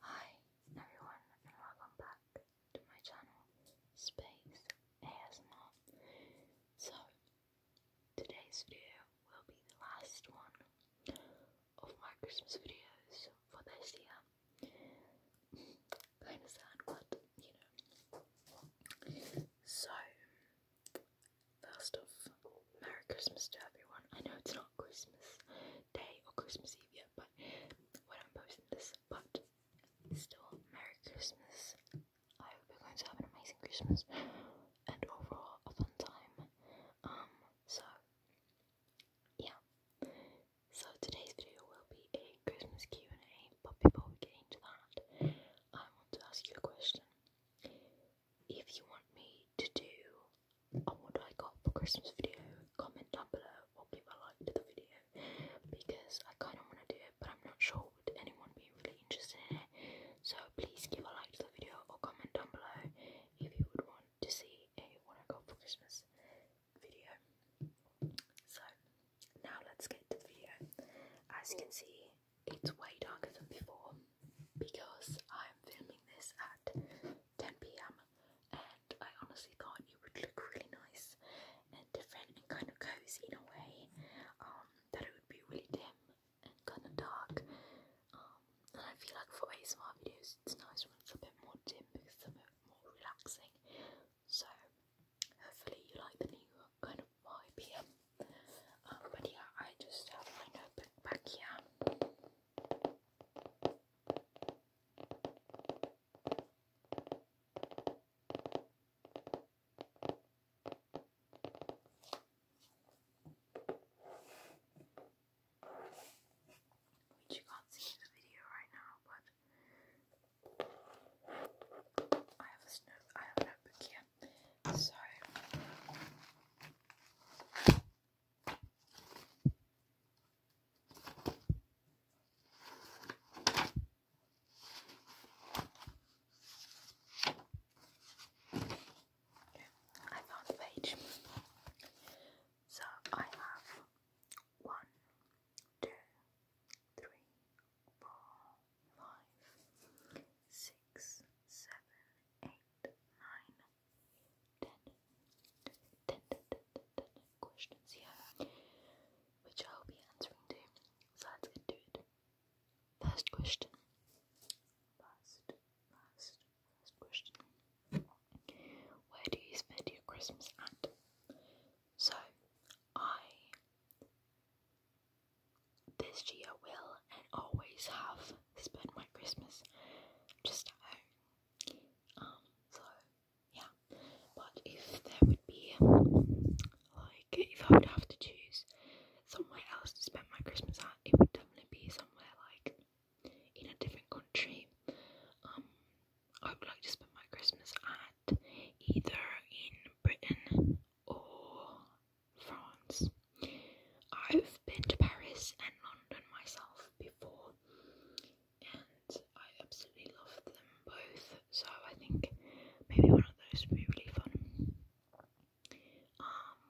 Hi everyone and welcome back to my channel Space ASMR. So today's video will be the last one of my Christmas videos for this year. Kinda sad but you know. So First off, Merry Christmas to everyone. I know it's not Christmas Day or Christmas Eve yet, but when I'm posting this, but still, Merry Christmas. I hope you're going to have an amazing Christmas and overall a fun time. Um, so yeah. So today's video will be a Christmas Q and A, but before we get into that, I want to ask you a question if you want me to do on what I got for Christmas video, comment down below or give a like to the video because I kind of want to do it, but I'm not sure would anyone be really interested in it. So please give a like to the video or comment down below if you would want to see a what I got for Christmas video. So now let's get the video. As you can see, it's way darker than before because I'm filming this at 10pm and I honestly thought it would look really nice and different and kind of cozy in a way um, that it would be really dim and kind of dark um, and I feel like for a small videos it's nice when it's a bit more dim because it's a bit more relaxing so hopefully you like the new kind of vibe here um, but yeah, I just have my notebook here. Which you can't see in the video right now, but I have a notebook here. So I found the page. So I have one, two, three, four, five, six, seven, eight, nine, 10, 10, 10, 10, 10, questions here, which I'll be answering to. So let's get to it. First question. Last, last, last question. Where do you spend your Christmas at? So, I this year will and always have spend my Christmas just at home. Um, so yeah. But if there would be like if I would have to choose somewhere else to spend my Christmas at, it would definitely be somewhere like in a different country. Um, I would like to spend my Christmas at either in Britain or France. I've been to Paris and London myself before, and I absolutely love them both. So I think maybe one of those would be really fun. Um,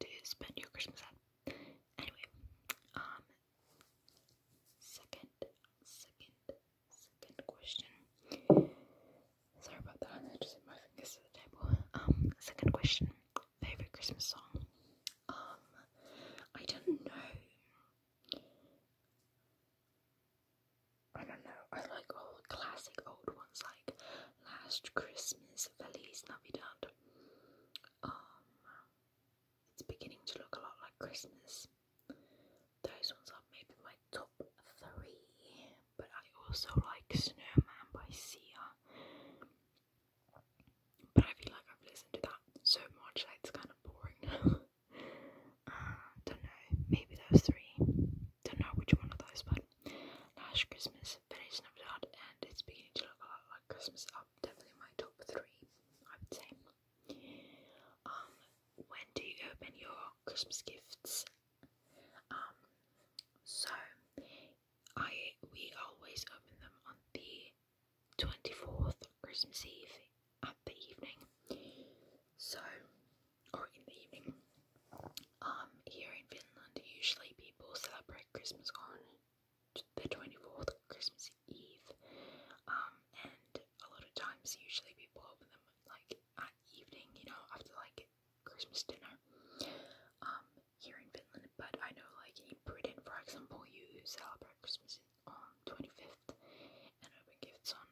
to spend your Christmas at. Anyway, um, second, second, second question. Sorry about that. I just hit my fingers to the table. Um, second question favorite Christmas song? Um, I don't know. I don't know. I like all classic old ones like Last Christmas, Feliz Navidad. Um, it's beginning to look a lot like Christmas. Those ones are maybe my top three but I also like Snowman by Sia. But I feel like I've listened to that so much that it's kind of boring uh, don't know, maybe those three. Don't know which one of those, but Last Christmas, Village Navidad, and it's beginning to look a lot like Christmas up. Definitely my top three, I would say. Um, when do you open your Christmas gifts? Um, so I we always open them on the 24th, Christmas Eve, at the evening. So, or in the evening. Um, here in Finland, usually people celebrate Christmas on the 24th, Christmas Eve. Um, and a lot of times, usually people open them like at evening, you know, after like Christmas dinner. Um, here in Finland, but I know like in Britain, for example, you celebrate Christmas on 25th and open gifts on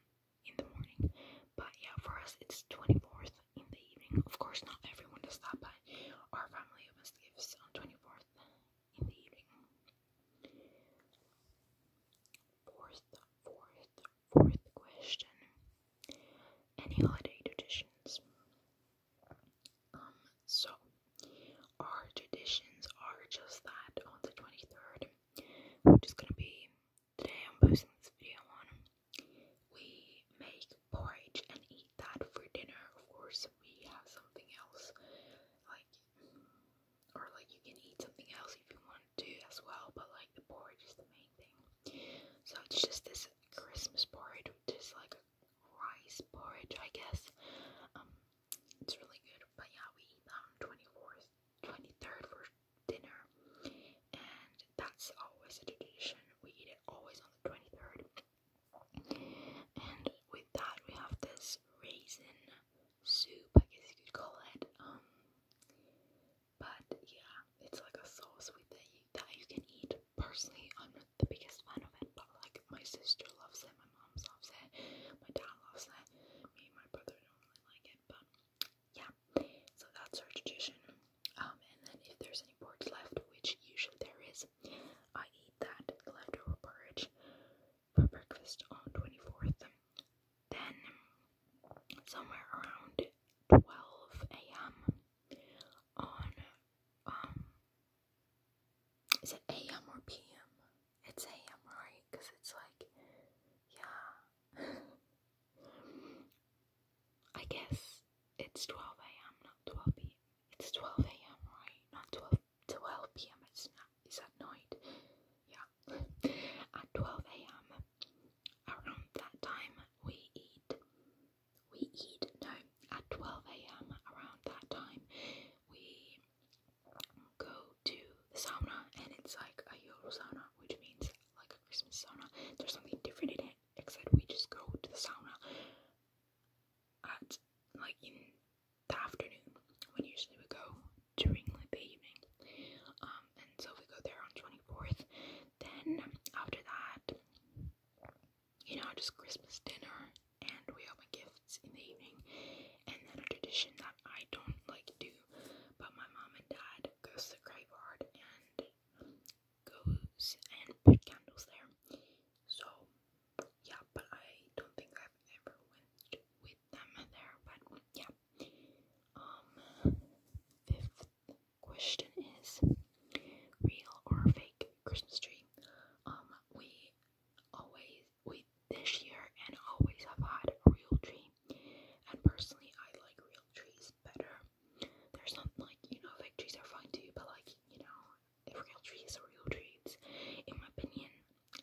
in the morning. But yeah, for us it's 24th in the evening. Of course, not everyone does that, but our family opens the gifts on 24th in the evening. Fourth, fourth, fourth question. Any holiday traditions? Um, so our traditions are just that on the 23rd, which is gonna be today I'm posting this video on. We make porridge and eat that for dinner. Of course, we have something else, like, or like you can eat something else if you want to as well, but like the porridge is the main thing. So it's just this Christmas porridge, which is like rice porridge, I guess. Um, it's really good. But yeah, we eat that on twenty fourth, twenty third for dinner, and that's always a tradition. We eat it always on the twenty third. And with that, we have this raisin soup, I guess you could call it. Um, but yeah, it's like a sauce with that that you can eat. Personally, I'm not the biggest fan of it, but like my sister loves it, my mom loves it, my dad loves it, me and my brother don't really like it, but yeah. So that's our tradition. Um, and then if there's any pork left, which usually there is, I eat that leftover porridge for breakfast on 24th. Then somewhere around 12 a.m on um is it AM or PM? It's AM, right? Because it's like, yeah. I guess it's 12 AM, not 12 PM. It's 12 AM, right? Not 12, 12 PM, it's, not, it's at night. Yeah. at 12 AM, around that time, we eat we eat no at 12 a.m. around that time we go to the sauna and it's like a yodel sauna which means like a Christmas sauna there's something different in it except we just go to the sauna at like in the afternoon when usually we go during like the evening um, and so we go there on 24th then after that you know, just Christmas dinner, and we open gifts in the evening, and then a tradition that I don't like to do, but my mom and dad goes to the graveyard and goes and put candles there. So yeah, but I don't think I've ever went with them there, but yeah. Um, question is real or fake Christmas tree. Um, we always, we this year and always have had a real tree. And personally, I like real trees better. There's not like, you know, fake trees are fine too, but like, you know, the real trees, is real trees. in my opinion,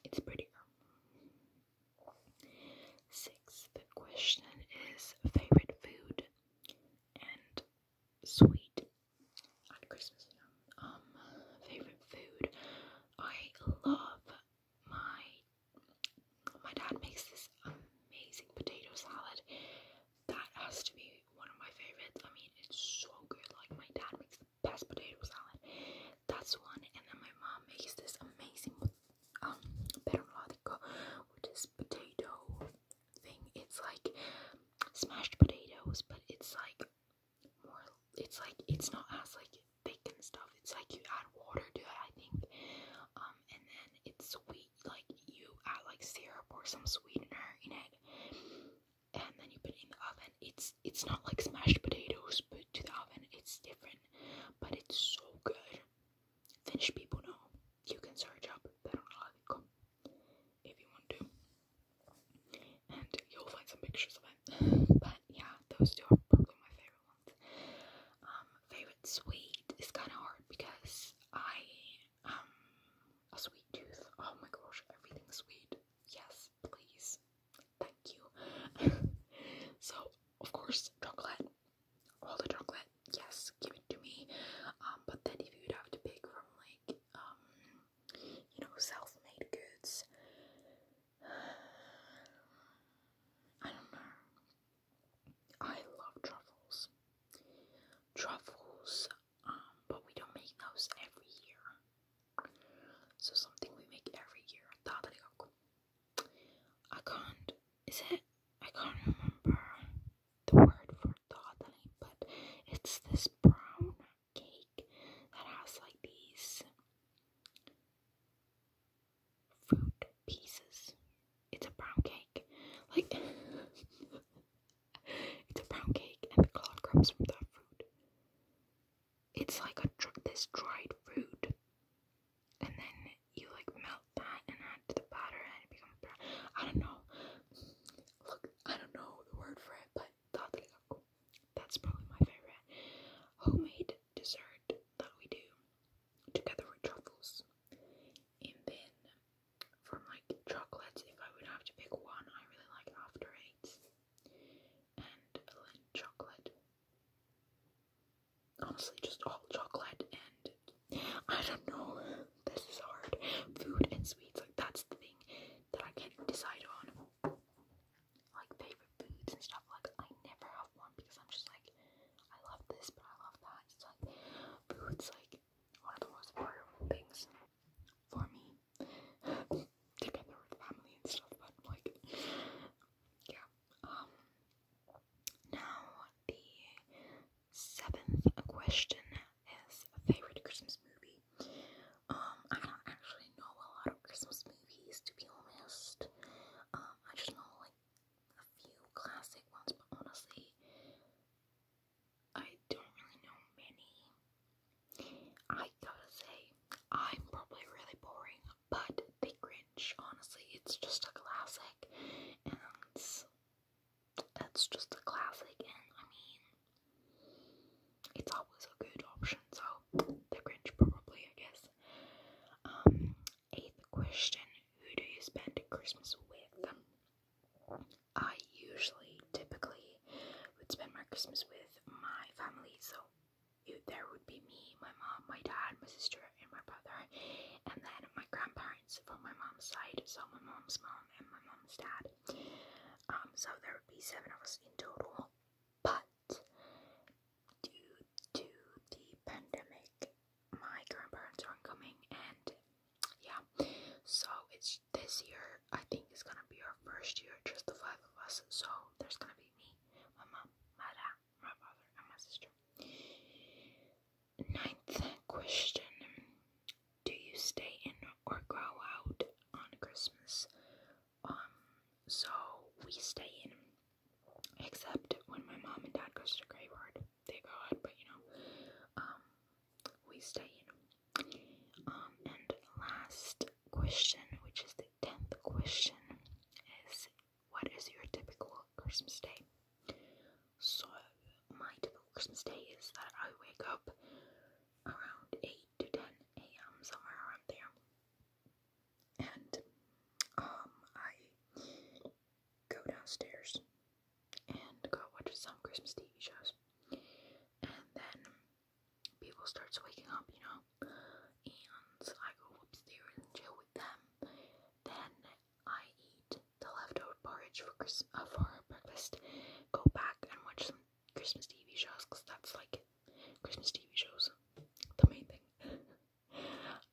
it's prettier. Sixth question is favorite food. And sweet at Christmas. Um, favorite food. I love my my dad makes this amazing potato salad. That has to be one of my favorites. I mean, it's so good. Like my dad makes the best potato salad. That's one. And then my mom makes this amazing um permaladico, which is potato thing. It's like smashed potatoes, but it's like more. It's like it's not as like thick and stuff. It's like you add water to it, I think. Um, and then it's sweet. Like you add like syrup or some sweetener in it, and then you put it in the oven. It's it's not like smashed potatoes, but to the oven, it's different. But it's so good. Finnish people know you can search up They don't perunalaatikko if you want to, and you'll find some pictures of it. But yeah, those two are probably my favorite ones. Um, favorite sweet is kind of hard because I um a sweet tooth. Oh my gosh, everything's sweet. Yes, please, thank you. so of course, chocolate all the chocolate, yes, give it to me. Um, but then if you'd have to pick from like um, you know self-made goods I don't know. I love truffles. Truffles, um, but we don't make those every year. So something we make every year. I can't is it I can't remember the word for toddling, but it's this brown cake that has like these fruit pieces. It's a brown cake. Like it's a brown cake and the color comes from that fruit. It's like a dr this dried fruit and then you like melt that and add to the powder and it becomes I don't know. Look, I don't know the word for it, but That's probably my favorite homemade dessert that we do together with truffles. And then from like chocolates, if I would have to pick one, I really like After and chocolate. Honestly, just all chocolate and I don't know. This is hard. Food and sweets, like that's the thing that I can't decide on. Like favorite foods and stuff. Like I never have one because I'm just like I love this, but I love that. It's like food's like one of the most important things for me. Together with family and stuff, but like yeah. Um now, the seventh question is favorite Christmas movie. Um, I don't actually know a lot of Christmas movies, to be honest. Um, I just know like a few classic ones, but honestly, I don't really know many. I gotta say, I'm probably really boring, but The Grinch, honestly, it's just a classic, and that's just a classic, and I mean, it's always a good option, so The Grinch probably, I guess. Um, eighth question Who do you spend Christmas with? I usually, typically, would spend my Christmas with my family, so it, there would be me, my mom, my dad, my sister, and my brother, and then my grandparents from my mom's side, so my mom's mom and my mom's dad. Um, so there would be seven of us in total, but due to the pandemic, my grandparents aren't coming, and yeah, so it's this year. I think it's gonna be our first year, just the five of us. So there's gonna be me, my mom, my dad, my brother, and my sister. Ninth question Do you stay in or go out on Christmas? Um, so we stay in, except when my mom and dad goes to graveyard. They go out, but you know, um, we stay in. Um, and last question, which is the tenth question, is what is your typical Christmas day? So, my typical Christmas day is that I wake up around 8 to 10 a.m., somewhere around there. And um, I go downstairs and go watch some Christmas TV shows. And then people starts waking up, you know, and I go upstairs and chill with them. Then I eat the leftover porridge for, Christ uh, for breakfast, go back and watch some Christmas TV shows because that's like Christmas TV shows, the main thing.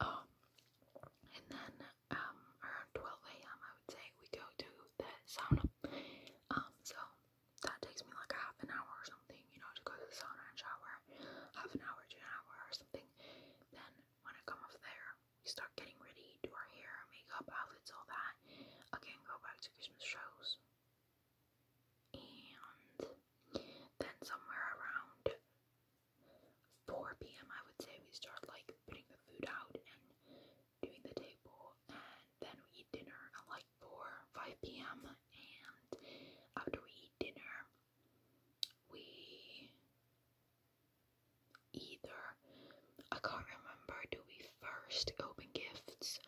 um, and then um, around 12 a.m., I would say we go to the sauna. Um, so that takes me like a half an hour or something, you know, to go to the sauna and shower, half an hour to hour or something. Then when I come off there, we start getting ready, do our hair, makeup, outfits, all that. Again, go back to Christmas shows. And then somewhere around 4 p.m., I would say, we start like putting the food out and doing the table. And then we eat dinner at like 4, 5 p.m. And after we eat dinner, we either. I can't remember do we first open gifts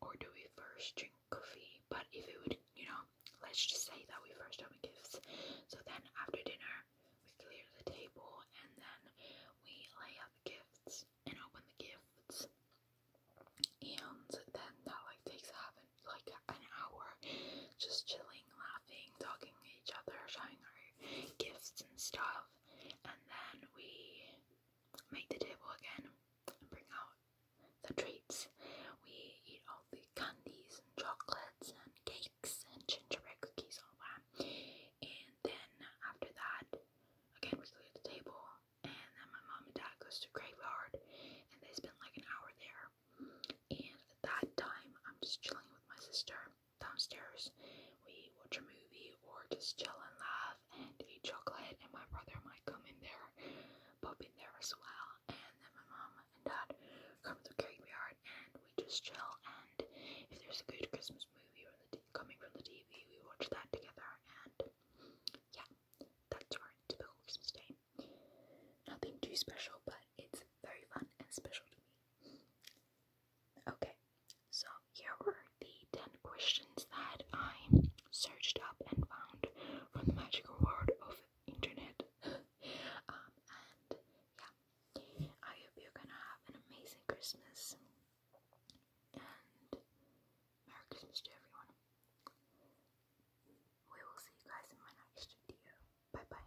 or do we first drink coffee, but if it would, you know, let's just say that we first open gifts. So then after dinner, we clear the table and then we lay out the gifts and open the gifts. And then that like takes half like an hour just chilling, talking each other, showing our gifts and stuff, and then we make the table again and bring out the treats. We eat all the candies and chocolates and cakes and gingerbread cookies, all that. And then after that, again, we clear the table, and then my mom and dad goes to graveyard, and they spend like an hour there. And at that time, I'm just chilling with my sister, downstairs. We watch a movie or just chill and laugh and eat chocolate. And my brother might come in there, pop in there as well. And then my mom and dad come to the graveyard and we just chill. And if there's a good Christmas movie or the coming from the TV, we watch that together. And yeah, that's our typical Christmas day. Nothing too special, but it's very fun and special to me. Okay, so here were the 10 questions that I searched up and found from the magical world of internet. um, and yeah, I hope you're gonna have an amazing Christmas and Merry Christmas to everyone. We will see you guys in my next video. Bye bye.